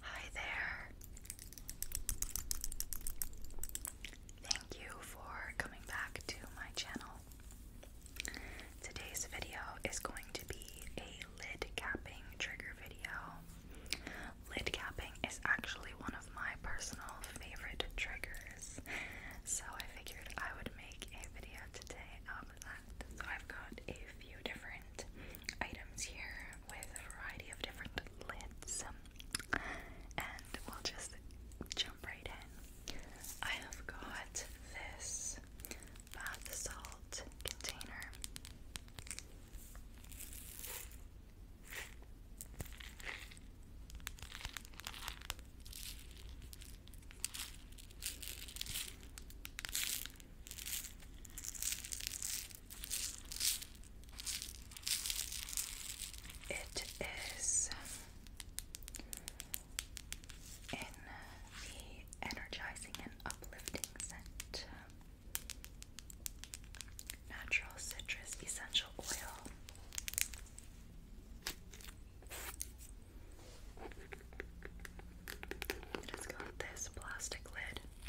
Hi there. Thank you for coming back to my channel. Today's video is going to be a lid capping trigger video. Lid capping is actually one of my personal favorite triggers, so I figured I would make a video today of that. So I've got a few different items here with a variety of different lids, and we'll just jump right in. I have got this bath salt container. It is in the energizing and uplifting scent. Natural citrus essential oil. It has got this plastic lid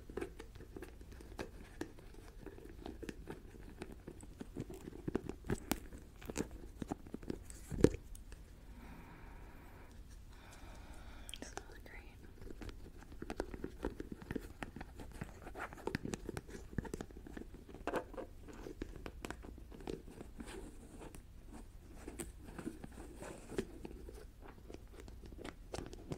smells great.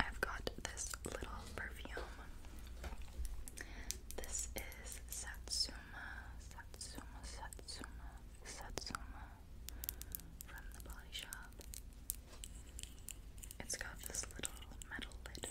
I've got this little perfume. This is Satsuma Satsuma, Satsuma, Satsuma, from the body shop. It's got this little metal lid.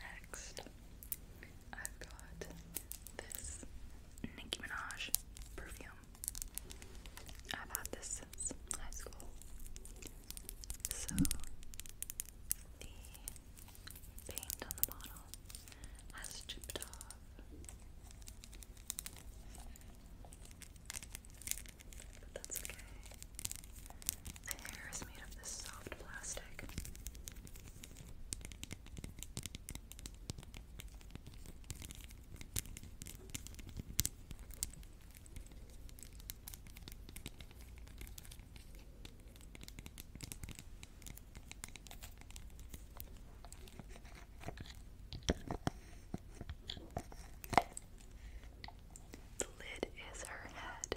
Next, I've got this Nicki Minaj perfume. I've had this since high school. So, the paint on the bottle has chipped off. But that's okay. The hair is made of this soft plastic. The lid is her head.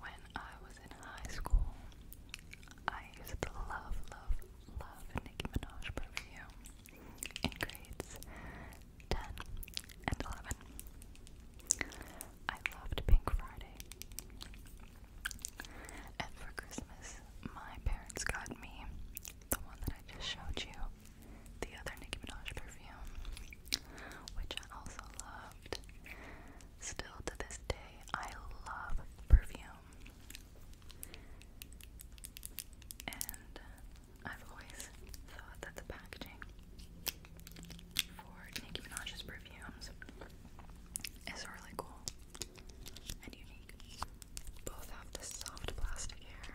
When I was in high school, I used to love, love, love Nicki Minaj perfume in grades 10 and 11. I loved Pink Friday. And for Christmas, my parents got me the one that I just showed you, the other Nicki Minaj perfume, which I also loved. Still to this day, I love perfume. And I've always thought that the packaging for Nicki Minaj's perfumes is really cool and unique. Both have this soft plastic hair.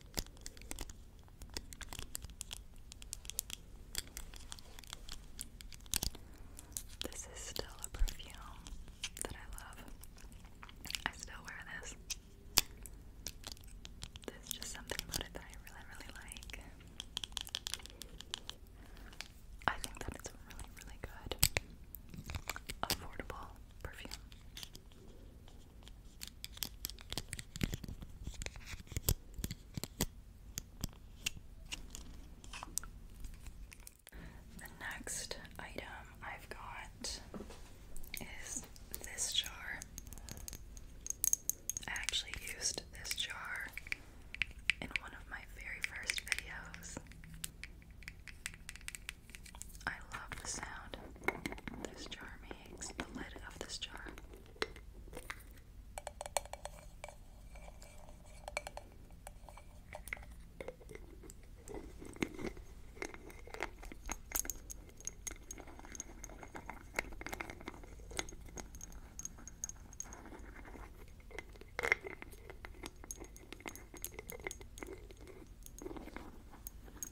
This is still a perfume that I love. I still wear this. There's just something about it that I really, really like. I think that it's a really, really good, affordable perfume. The next item I've got is this jar. I actually used this jar in one of my very first videos. I love the sound this jar makes, the lid of this jar.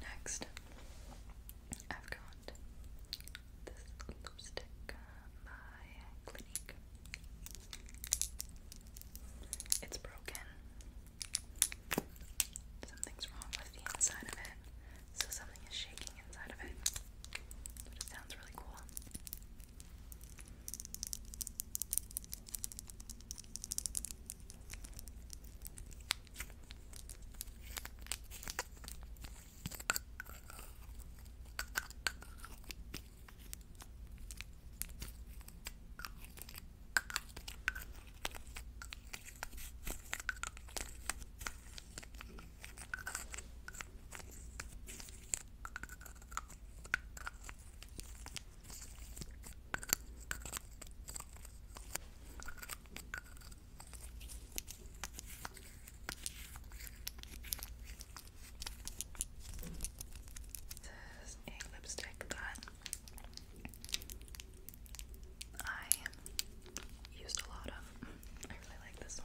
Next, I've got this lipstick uh, by Clinique. It's broken, Something's wrong with the inside of it. So something is shaking inside of it. sounds really cool. This is a lipstick that I used a lot of. I really like this one.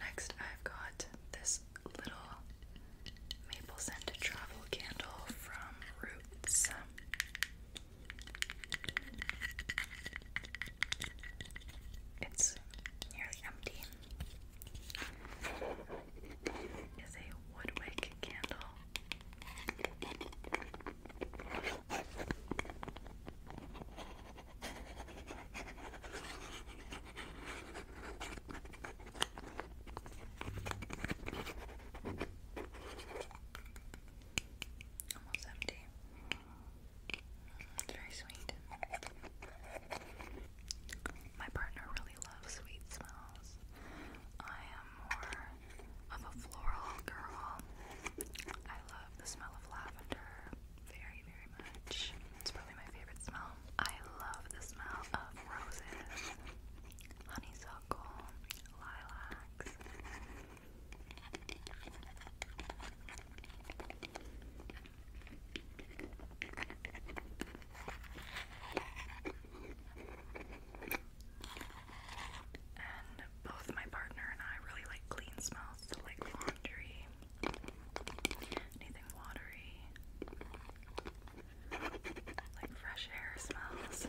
Next, I've got this little maple scented travel candle from Roots. It's nearly empty. Is a woodwick candle Almost empty. It's very sweet. My partner really loves sweet smells. I am more of a floral girl. I love the smell of lavender very, very much. It's probably my favorite smell. I love the smell of roses, honeysuckle, lilacs. And both my partner and I really like clean smells, like laundry, anything watery, like fresh air smells.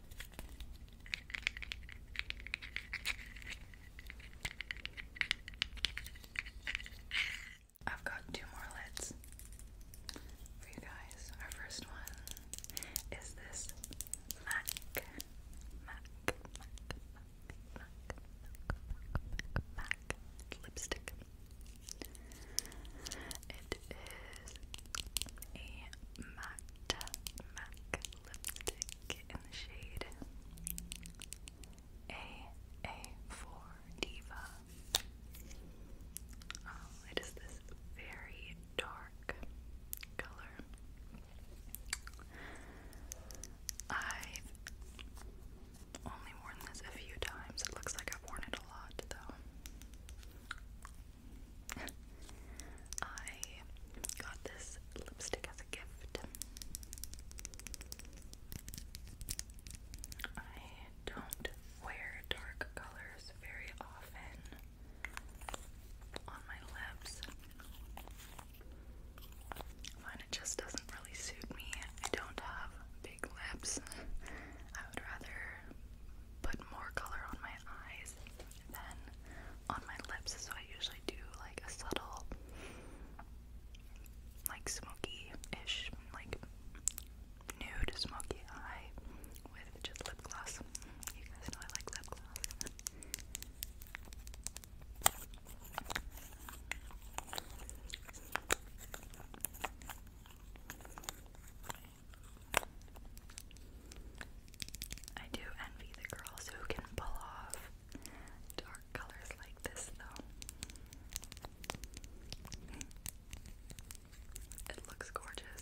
I've got two more lids for you guys. Our first one is this Mac, Mac, Mac, Mac, Mac, Mac, lipstick. It is a matte MAC lipstick in the shade AA4 Diva. Um, it is this very dark color. I've only worn this a few times. It looks like I've worn it a lot, though. I got this lipstick as a gift. I don't wear dark colors very often on my lips. Mine it just doesn't really suit me. I don't have big lips. I would rather put more color on my eyes than on my lips, so I usually do like a subtle, like smoky-ish, like nude smoky eye with just lip gloss. You guys know I like lip gloss. I do envy the girls who can pull off dark colors like this, though. It looks gorgeous.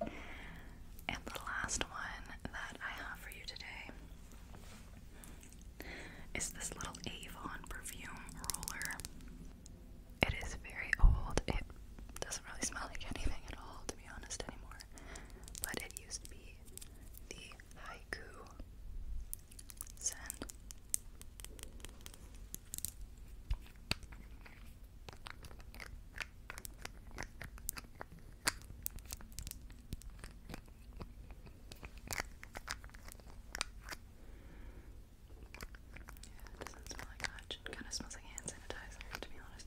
And the last one that I have for you today is this little Avon perfume roller. It is very old. It doesn't really smell like anything at all, to be honest, anymore. But it used to be the haiku scent it doesn't smell like much. kind of smells like hand sanitizer, to be honest.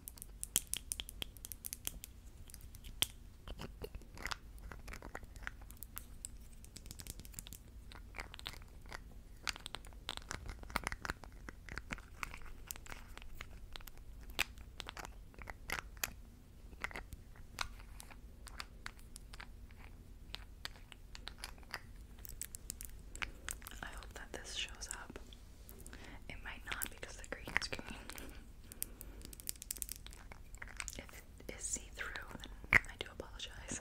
I hope that this shows up it might not because the green screen. If see through, I do apologize.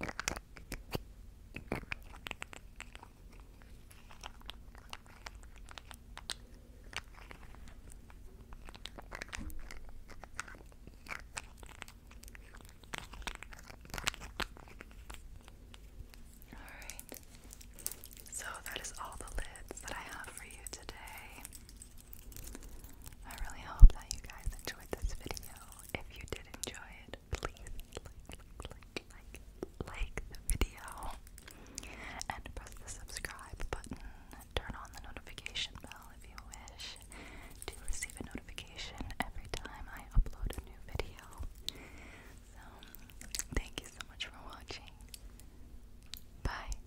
All right. So that is all the lids that I have for you today. I really hope that you guys enjoyed this video. If you did enjoy it, please like, like, like, the video and press the subscribe button. Turn on the notification bell if you wish to receive a notification every time I upload a new video. So, thank you so much for watching. Bye.